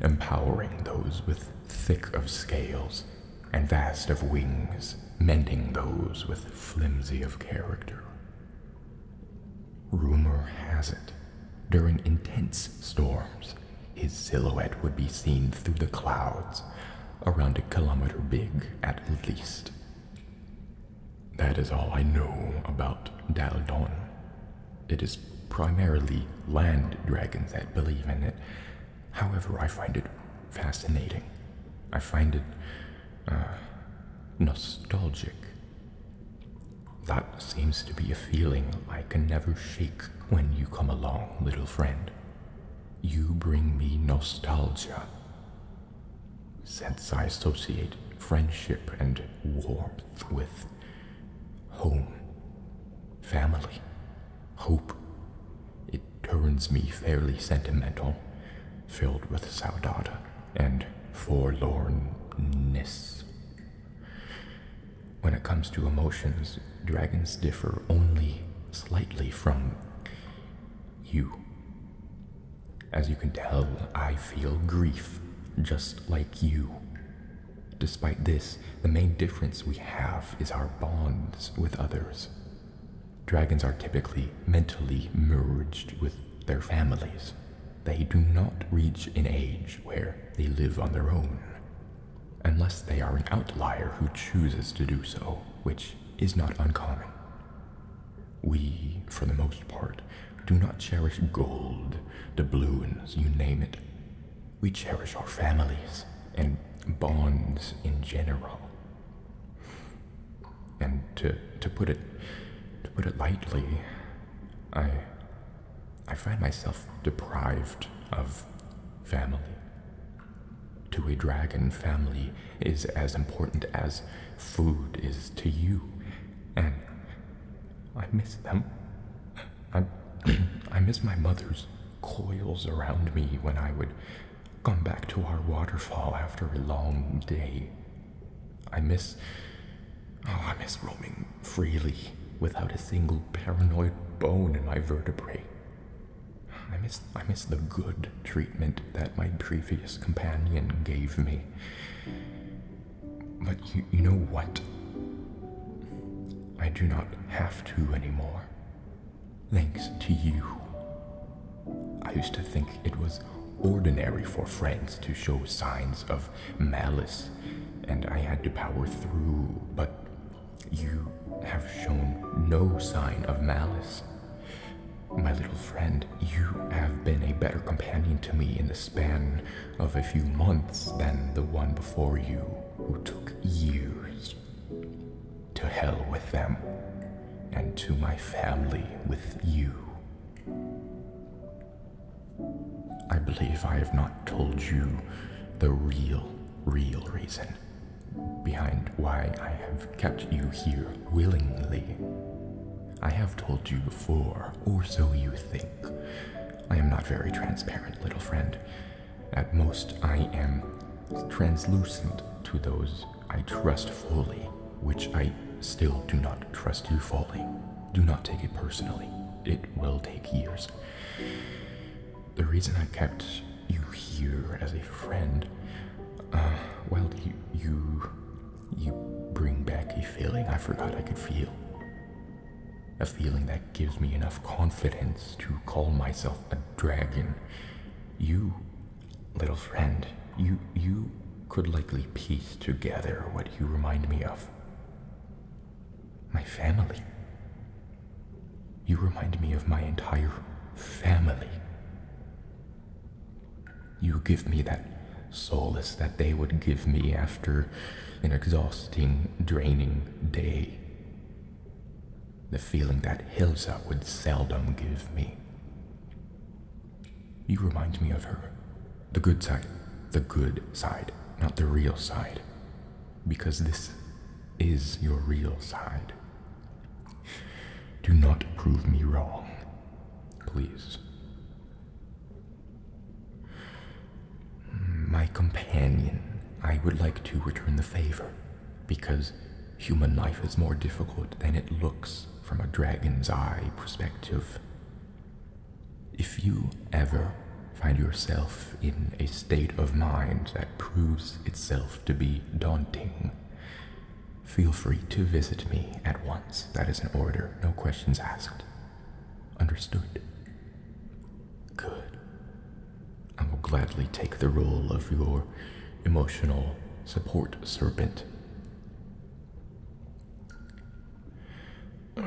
empowering those with thick of scales and vast of wings, mending those with flimsy of character. Rumor has it, during intense storms, his silhouette would be seen through the clouds, around a kilometer big at least. That is all I know about Dal Don. It is primarily land dragons that believe in it. However, I find it fascinating. I find it uh, nostalgic. That seems to be a feeling I can never shake when you come along, little friend. You bring me nostalgia. Since I associate friendship and warmth with Home, family, hope. It turns me fairly sentimental, filled with saudade and forlornness. When it comes to emotions, dragons differ only slightly from you. As you can tell, I feel grief just like you. Despite this, the main difference we have is our bonds with others. Dragons are typically mentally merged with their families. They do not reach an age where they live on their own, unless they are an outlier who chooses to do so, which is not uncommon. We, for the most part, do not cherish gold, doubloons, you name it. We cherish our families and bonds in general. And to, to put it to put it lightly, I I find myself deprived of family. To a dragon, family is as important as food is to you, and I miss them. I, I miss my mother's coils around me when I would come back to our waterfall after a long day. I miss. Oh, I miss roaming freely without a single paranoid bone in my vertebrae. I miss, I miss the good treatment that my previous companion gave me. But you, you know what? I do not have to anymore. Thanks to you. I used to think it was ordinary for friends to show signs of malice, and I had to power through, but you have shown no sign of malice. My little friend, you have been a better companion to me in the span of a few months than the one before you who took years. To hell with them, and to my family with you. I believe I have not told you the real, real reason behind why I have kept you here willingly. I have told you before, or so you think. I am not very transparent, little friend. At most, I am translucent to those I trust fully, which I still do not trust you fully. Do not take it personally. It will take years. The reason I kept you here as a friend, uh, well, you, you bring back a feeling I forgot I could feel. A feeling that gives me enough confidence to call myself a dragon. You, little friend, you, you could likely piece together what you remind me of. My family. You remind me of my entire family. You give me that solace that they would give me after an exhausting, draining day the feeling that Hilza would seldom give me. You remind me of her. The good side. The good side, not the real side. Because this is your real side. Do not prove me wrong, please. My companion, I would like to return the favor, because human life is more difficult than it looks from a dragon's eye perspective. If you ever find yourself in a state of mind that proves itself to be daunting, feel free to visit me at once. That is an order, no questions asked. Understood? Good. I will gladly take the role of your emotional support serpent. Uh,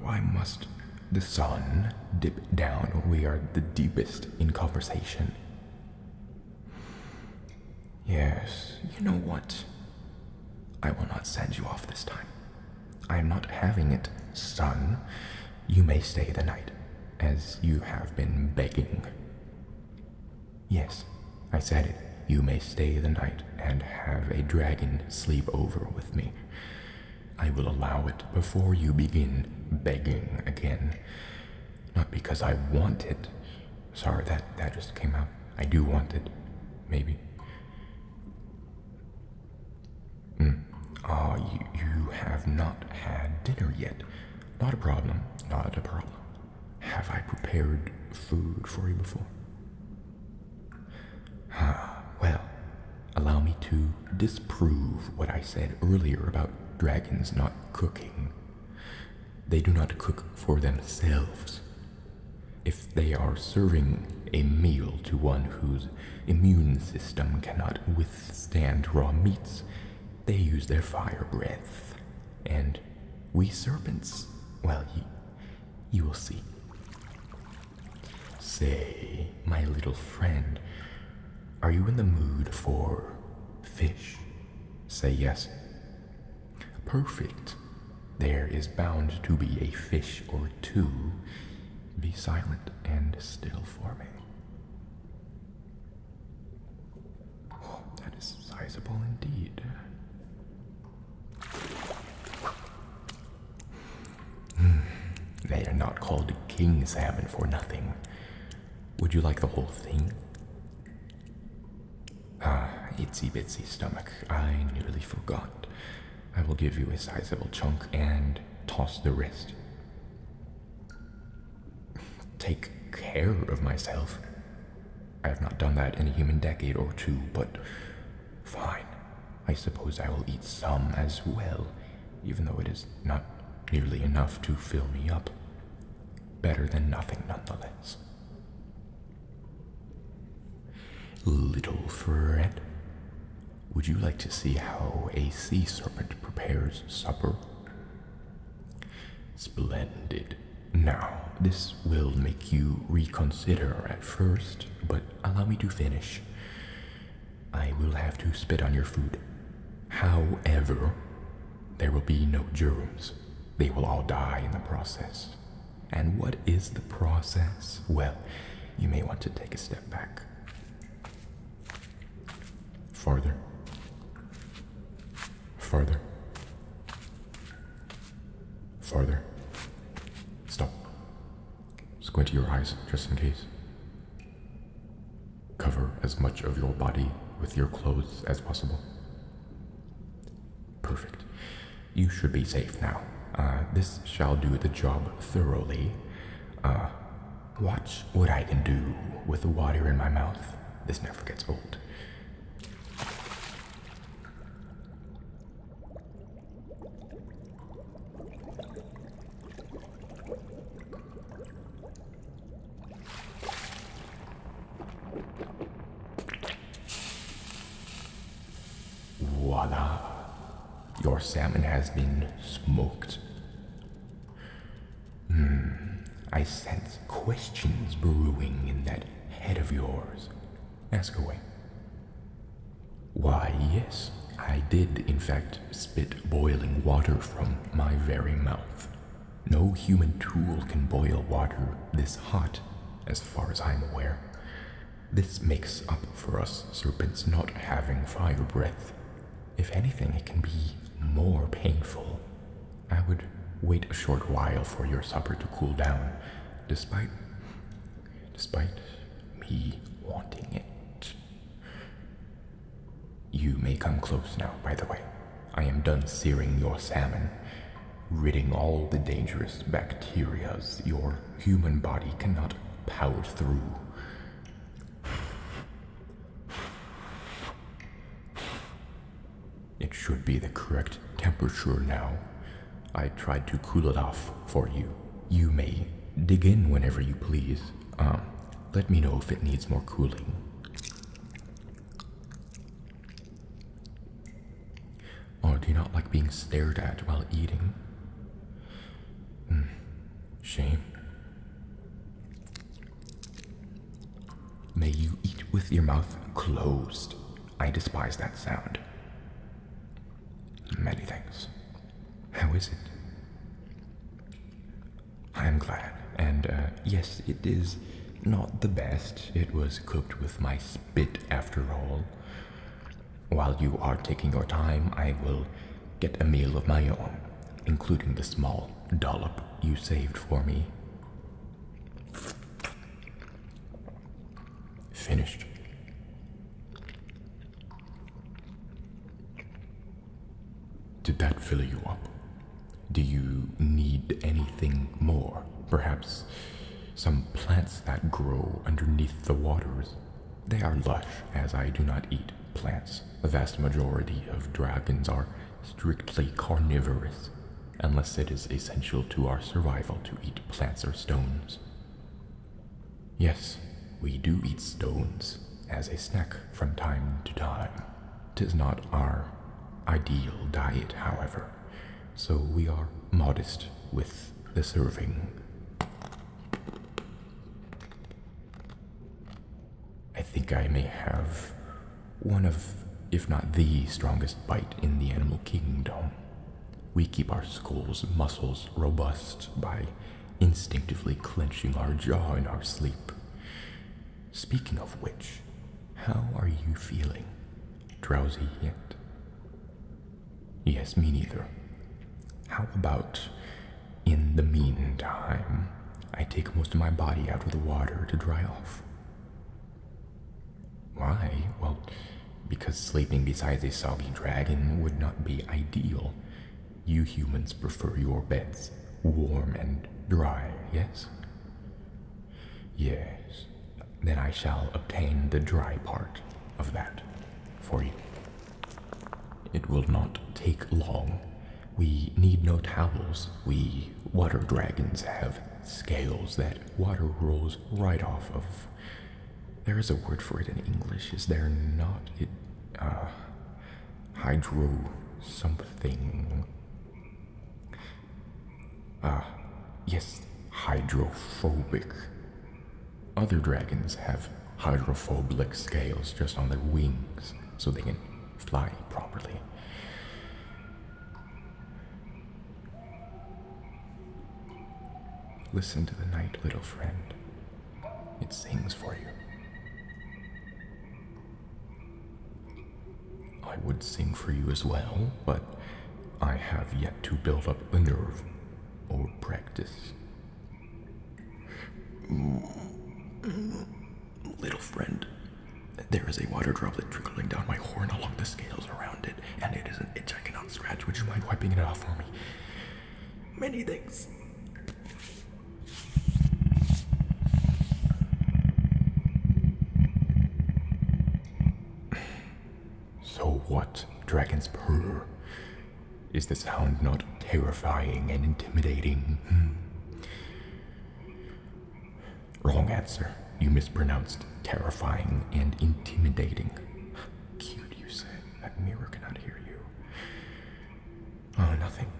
why must the sun dip down when we are the deepest in conversation? Yes, you know what? I will not send you off this time. I am not having it, son. You may stay the night, as you have been begging. Yes, I said it. You may stay the night and have a dragon sleep over with me. I will allow it before you begin begging again. Not because I want it. Sorry, that, that just came out. I do want it. Maybe. Mm. Ah, you, you have not had dinner yet. Not a problem, not a problem. Have I prepared food for you before? Ah, well, allow me to disprove what I said earlier about dragons not cooking. They do not cook for themselves. If they are serving a meal to one whose immune system cannot Stand raw meats, they use their fire breath. And we serpents, well, you will see. Say, my little friend, are you in the mood for fish? Say yes. Perfect. There is bound to be a fish or two. Be silent and still for me that is sizable indeed. Hmm. they are not called king salmon for nothing. Would you like the whole thing? Ah, itsy bitsy stomach. I nearly forgot. I will give you a sizable chunk and toss the rest take care of myself. I have not done that in a human decade or two, but fine. I suppose I will eat some as well, even though it is not nearly enough to fill me up. Better than nothing, nonetheless. Little friend, would you like to see how a sea serpent prepares supper? Splendid. Now, this will make you reconsider at first, but allow me to finish. I will have to spit on your food. However, there will be no germs. They will all die in the process. And what is the process? Well, you may want to take a step back. Farther. Farther. Farther. Stop. Squint your eyes just in case. Cover as much of your body with your clothes as possible. Perfect. You should be safe now. Uh, this shall do the job thoroughly. Uh, Watch what I can do with the water in my mouth. This never gets old. Voila. Your salmon has been smoked. Hmm, I sense questions brewing in that head of yours. Ask away. Why, yes, I did, in fact, spit boiling water from my very mouth. No human tool can boil water this hot, as far as I'm aware. This makes up for us serpents not having fire breath. If anything, it can be more painful. I would wait a short while for your supper to cool down, despite despite me wanting it. You may come close now, by the way. I am done searing your salmon, ridding all the dangerous bacterias your human body cannot power through. It should be the correct temperature now. I tried to cool it off for you. You may dig in whenever you please. Um, let me know if it needs more cooling. Oh, do you not like being stared at while eating? Hmm, shame. May you eat with your mouth closed. I despise that sound. Many things. How is it? I am glad. And uh, yes, it is not the best. It was cooked with my spit after all. While you are taking your time, I will get a meal of my own, including the small dollop you saved for me. Finished. Did that fill you up? Do you need anything more? Perhaps some plants that grow underneath the waters? They are lush, as I do not eat plants. The vast majority of dragons are strictly carnivorous, unless it is essential to our survival to eat plants or stones. Yes, we do eat stones as a snack from time to time. Tis not our ideal diet, however, so we are modest with the serving. I think I may have one of, if not the strongest bite in the animal kingdom. We keep our skull's muscles robust by instinctively clenching our jaw in our sleep. Speaking of which, how are you feeling? Drowsy yet? Yes, me neither. How about in the meantime, I take most of my body out of the water to dry off. Why? Well, because sleeping beside a soggy dragon would not be ideal. You humans prefer your beds warm and dry, yes? Yes, then I shall obtain the dry part of that for you. It will not take long. We need no towels. We water dragons have scales that water rolls right off of. There is a word for it in English, is there not? It, uh, hydro something. Ah, yes, hydrophobic. Other dragons have hydrophobic scales just on their wings so they can fly properly. Listen to the night, little friend. It sings for you. I would sing for you as well, but I have yet to build up the nerve or practice Little friend, there is a water droplet trickling down my horn along the scales around it, and it is an itch I cannot scratch. Would you mind wiping it off for me? Many thanks. So what, dragons purr? Is the sound not terrifying and intimidating? Mm-hmm. Wrong answer. You mispronounced terrifying and intimidating. Cute, you said. That mirror cannot hear you. Oh, nothing.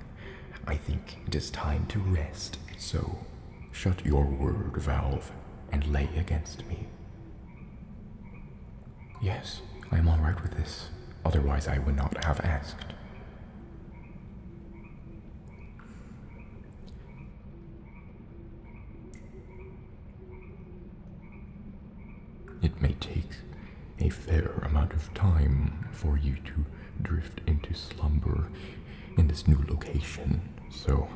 I think it is time to rest, so shut your word valve and lay against me. Yes, I am all right with this. Otherwise, I would not have asked. It may take a fair amount of time for you to drift into slumber in this new location, so.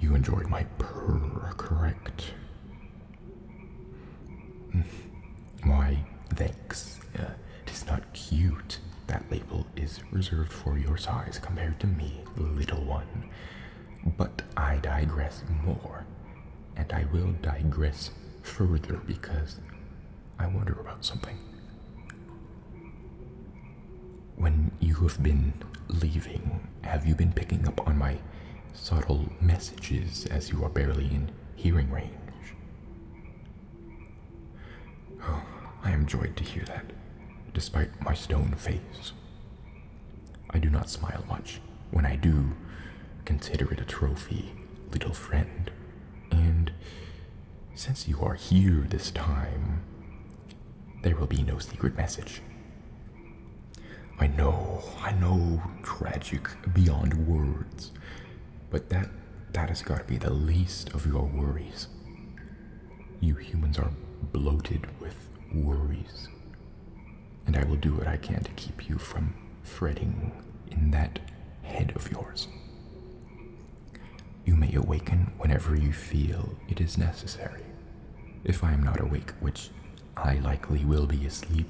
You enjoyed my purr, correct? Why, thanks. it is not cute. That label is reserved for your size compared to me, little one. But I digress more, and I will digress further because I wonder about something. When you have been leaving, have you been picking up on my subtle messages as you are barely in hearing range? Oh, I am joyed to hear that, despite my stone face. I do not smile much. When I do, consider it a trophy, little friend. And since you are here this time, there will be no secret message. I know, I know, tragic beyond words. But that that has got to be the least of your worries. You humans are bloated with worries. And I will do what I can to keep you from fretting in that head of yours. You may awaken whenever you feel it is necessary. If I am not awake, which I likely will be asleep,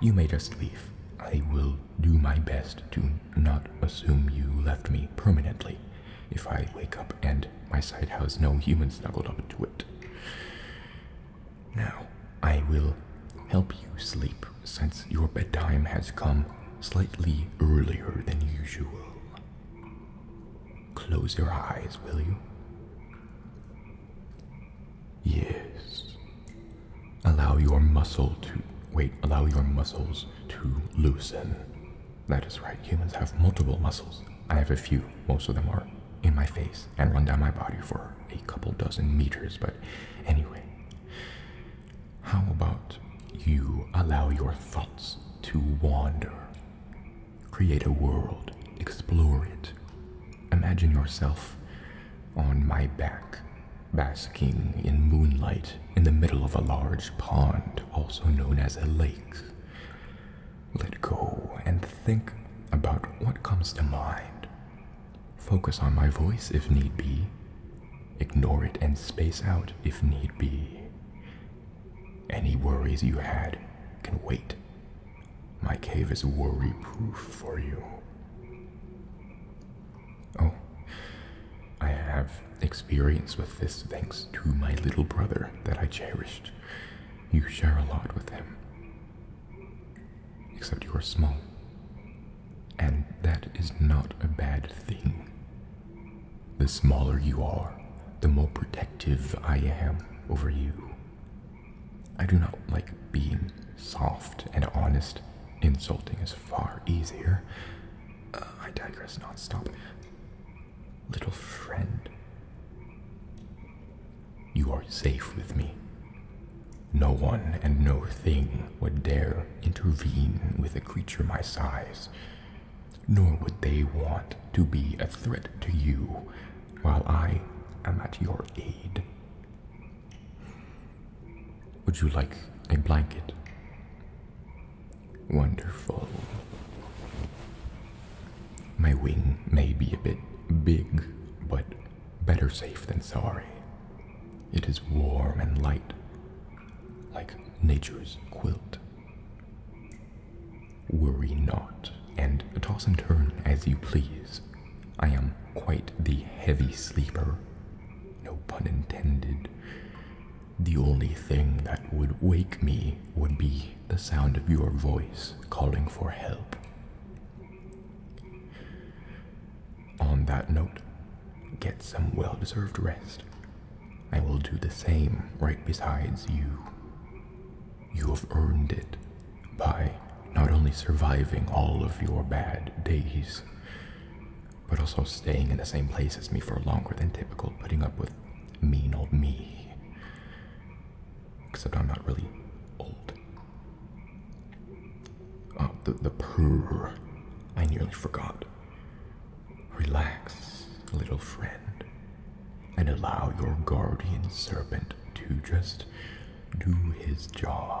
you may just leave. I will do my best to not assume you left me permanently if I wake up and my side has no human snuggled up to it. Now, I will help you sleep since your bedtime has come slightly earlier than usual. Close your eyes, will you? Yes. Allow your muscle to wait, allow your muscles to loosen. That is right. Humans have multiple muscles. I have a few. Most of them are in my face and run down my body for a couple dozen meters, but anyway. How about you allow your thoughts to wander? Create a world, explore it, Imagine yourself on my back, basking in moonlight in the middle of a large pond, also known as a lake. Let go and think about what comes to mind. Focus on my voice if need be. Ignore it and space out if need be. Any worries you had can wait. My cave is worry proof for you. Oh, I have experience with this thanks to my little brother that I cherished. You share a lot with him. Except you are small. And that is not a bad thing. The smaller you are, the more protective I am over you. I do not like being soft and honest Insulting is far easier. Uh, I digress Not stop, Little friend, you are safe with me. No one and no thing would dare intervene with a creature my size, nor would they want to be a threat to you while I am at your aid. Would you like a blanket? Wonderful. My wing may be a bit big, but better safe than sorry. It is warm and light, like nature's quilt. Worry not, and toss and turn as you please. I am quite the heavy sleeper, no pun intended. The only thing that would wake me would be the sound of your voice calling for help. On that note, get some well deserved rest. I will do the same right besides you. You have earned it by not only surviving all of your bad days, but also staying in the same place as me for longer than typical, putting up with mean old me. Except I'm not really old. Oh, the, the purr. I nearly forgot. Relax, little friend, and allow your guardian serpent to just do his job.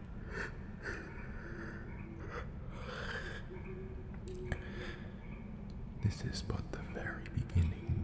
This is but the very beginning.